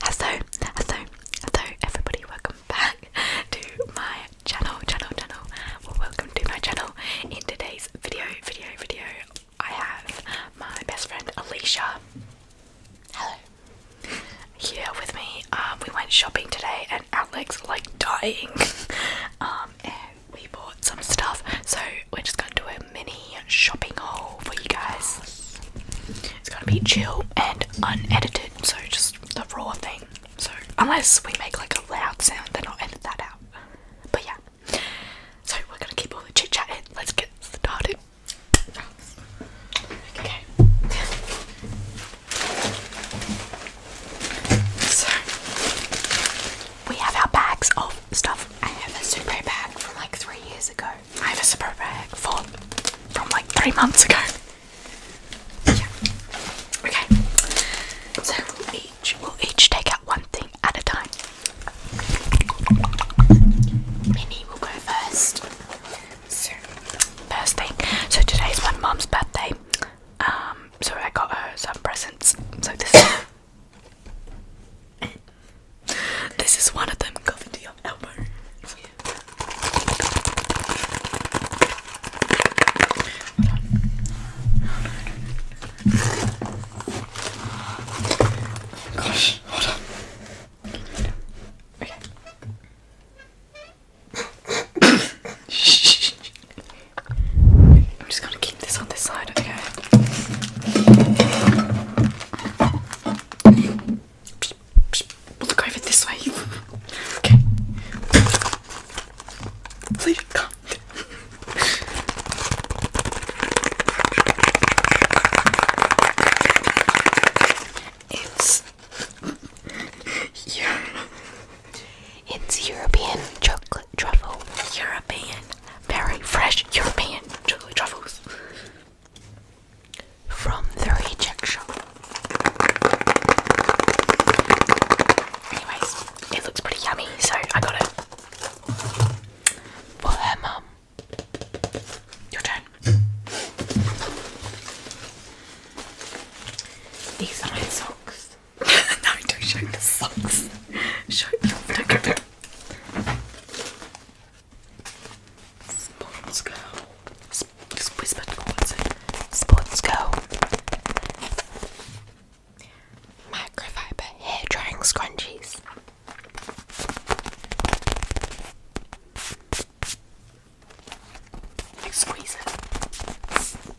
Hello, hello, hello everybody, welcome back to my channel, channel, channel. Well welcome to my channel. In today's video, video, video, I have my best friend Alicia. Hello. Here with me. Um, we went shopping today and our legs are like dying. Um, we bought some stuff, so we're just gonna do a mini shopping haul for you guys. It's gonna be chill and unedited, so just the raw thing. So unless we make like a loud sound, then I'll edit that out. But yeah, so we're gonna keep all the chit chat in. Let's get started. Okay. So we have our bags of stuff I have a super bag from like three years ago. I have a super bag for from like three months ago. Yeah. Okay. So we'll each will each take out one thing at a time. Minnie will go first. So first thing. So today's my mum's birthday. Um so I got her some presents. So this this is one of them covered to your elbow. gosh, hold on. I'm just gonna keep keep this on this side, okay? We'll look over this way. Okay. Please come. It's yeah. It's European chocolate truffle European, very fresh European truffles from the reject shop. Anyways, it looks pretty yummy, so I got it for her mum. Your turn. These are my socks. no, don't show the socks. Show them. Spots go. just whisper to what's it? go. Microfiber hair drying scrunchies. Like squeeze it.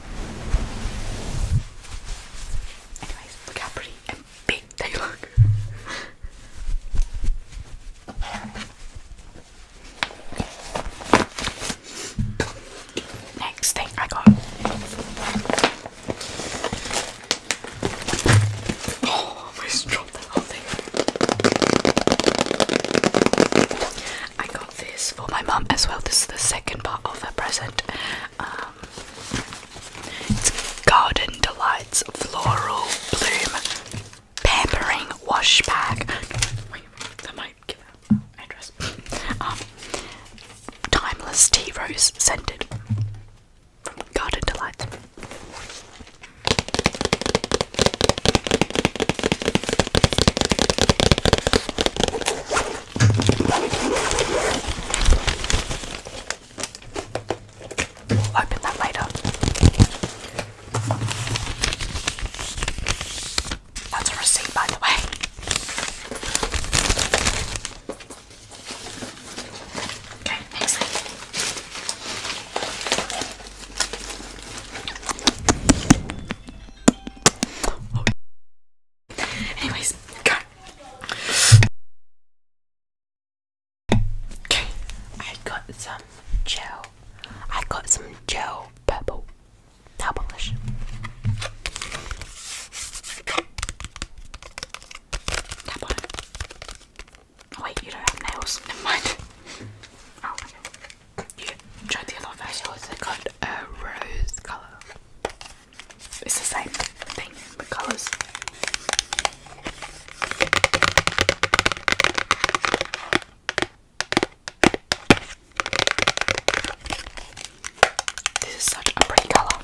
look how pretty and big they look. Next thing I got. Oh, I almost dropped that thing. I got this for my mum as well. This is the second part of her present. Um, it's Garden Delights Floral Bloom Pampering Wash Bag. Wait, that might give out address. Um, timeless Tea Rose Scented from Garden Delights open that later. That's a receipt, by the way. Okay, next Anyways, Okay, I got some gel. I got some gel purple nail polish. Tap on oh, wait, you don't have nails. Never mind. Oh, okay. You tried the yellow version, also got a rose colour. It's the same thing The colours. This is such a pretty colour.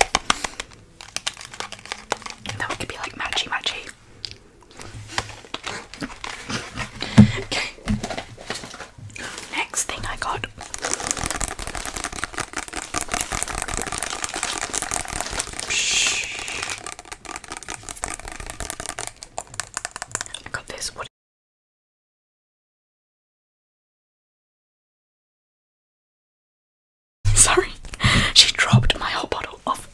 That one could be like matchy matchy. okay. Next thing I got I got this what Sorry, she dropped my whole bottle of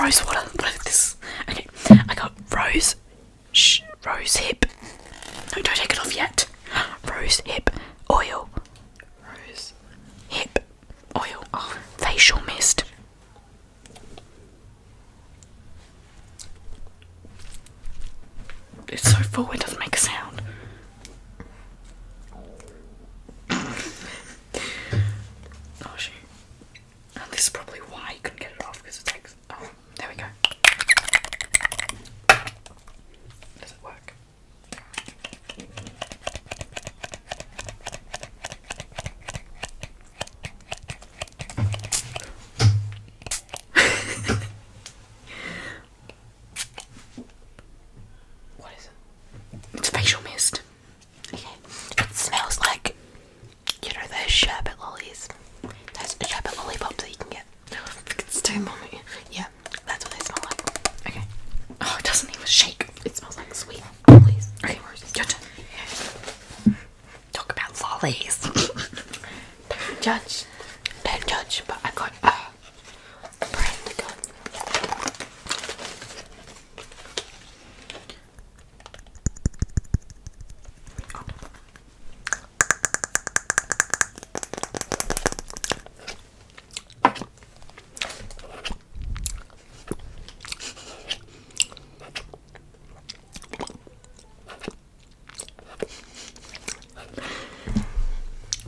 rose water. What is this? Okay, I got rose rose hip. No, don't take it off yet. Rose hip oil. Rose hip oil. Oh, facial mist. It's so full it doesn't make a sound. oh shit! this is probably why you couldn't get it off because it's there we go. Does it work? what is it? It's facial mist. Okay. It smells like you know those sherbet lollies. Those sherbet lollipops that you can get yeah. It's too Yeah, that's what they smell like. Okay. Oh, it doesn't even shake. It smells like sweet. Please. Okay, roses. Judge. Talk about lollies. do judge. do judge, but I got a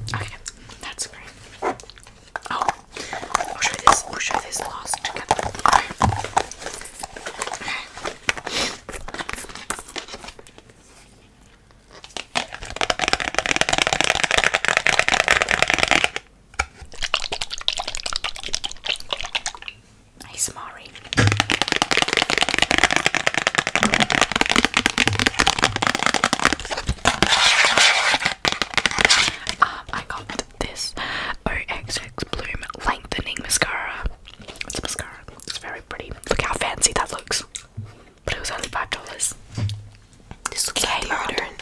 Okay, that's great. Oh, we'll try this. We'll try this last together. Okay. Okay. Nice Mari. Um, I got this OXX Bloom Lengthening Mascara. It's mascara. It's very pretty. Look how fancy that looks. But it was only five dollars. This looks like deodorant.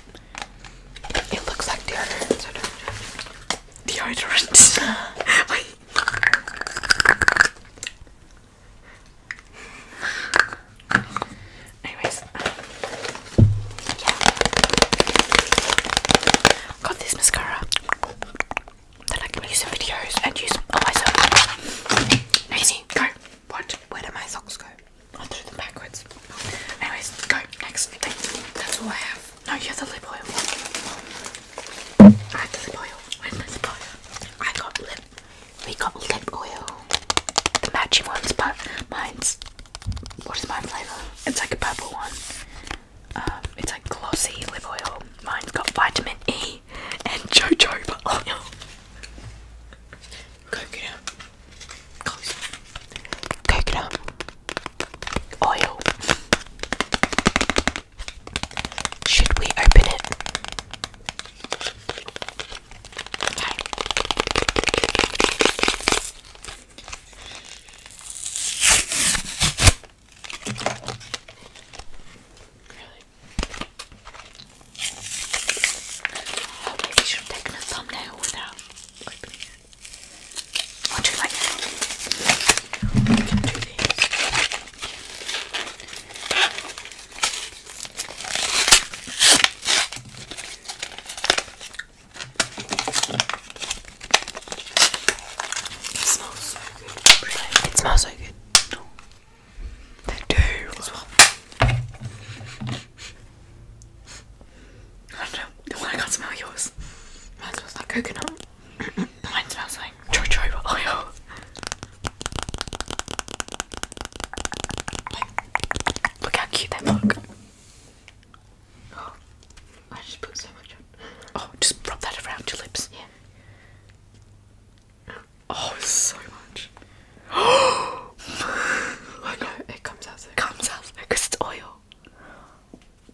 It looks like deodorant. deodorant. Wait. Anyways, um, Got this mascara that I can use some videos and use some. on myself. Easy, go. What? Where do my socks go? I'll do them backwards. Anyways, go. Next thing. That's all I have. No, you have the lip oil. I have the lip oil. Where's my lip oil? I got lip. We got lip oil. The matching ones, but mine's. What is my flavour? It's like a purple one. Um, it's like glossy lip oil. Mine's got vitamin E and Jojo, but oh no. Coconut. Close. Coconut. Oil. Should we open it? I really should have a thumbnail without opening it. I like It smells so good. It smells so good. I know. The I can smell yours. Mine smells like coconut. Mine smells like jojoba oil. look how cute that look. Oh, I just put so much on. Oh, just rub that around your lips. Yeah. Oh, so much. I know it comes out. It comes out because it's oil.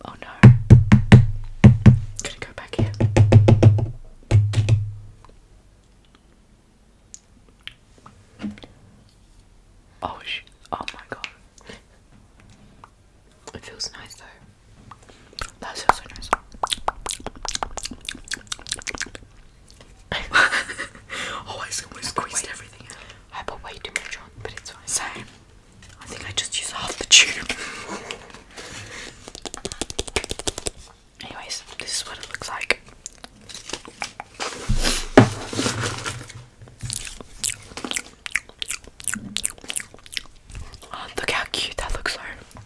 Oh no. gonna go back here. Oh, sh oh my god. It feels nice though. That feels so nice. oh, I almost squeezed everything out. I put way too much on, but it's fine. Same. I think I just used half the tube. Anyways, this is what it looks like. Ah, look how cute that looks, though.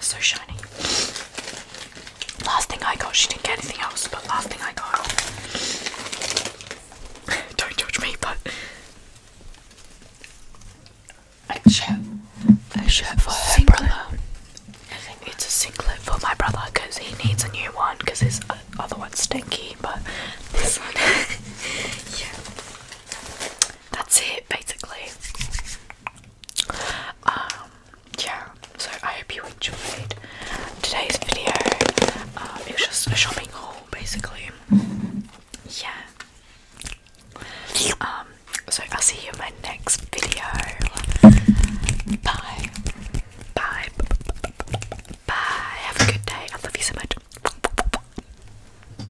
So shiny. Last thing I got, she didn't get anything else, but last thing I got. Don't judge me, but. A shirt. A shirt for her singlet. brother. It's a singlet for my brother because he needs a new one because his other one's stinky, but this one. yeah that's it basically. Um, yeah, so I hope you enjoyed today's video. Um, it was just a shopping haul basically. Yeah. Um, so I'll see you in my next video. Bye. Bye. Bye. Have a good day. I love you so much.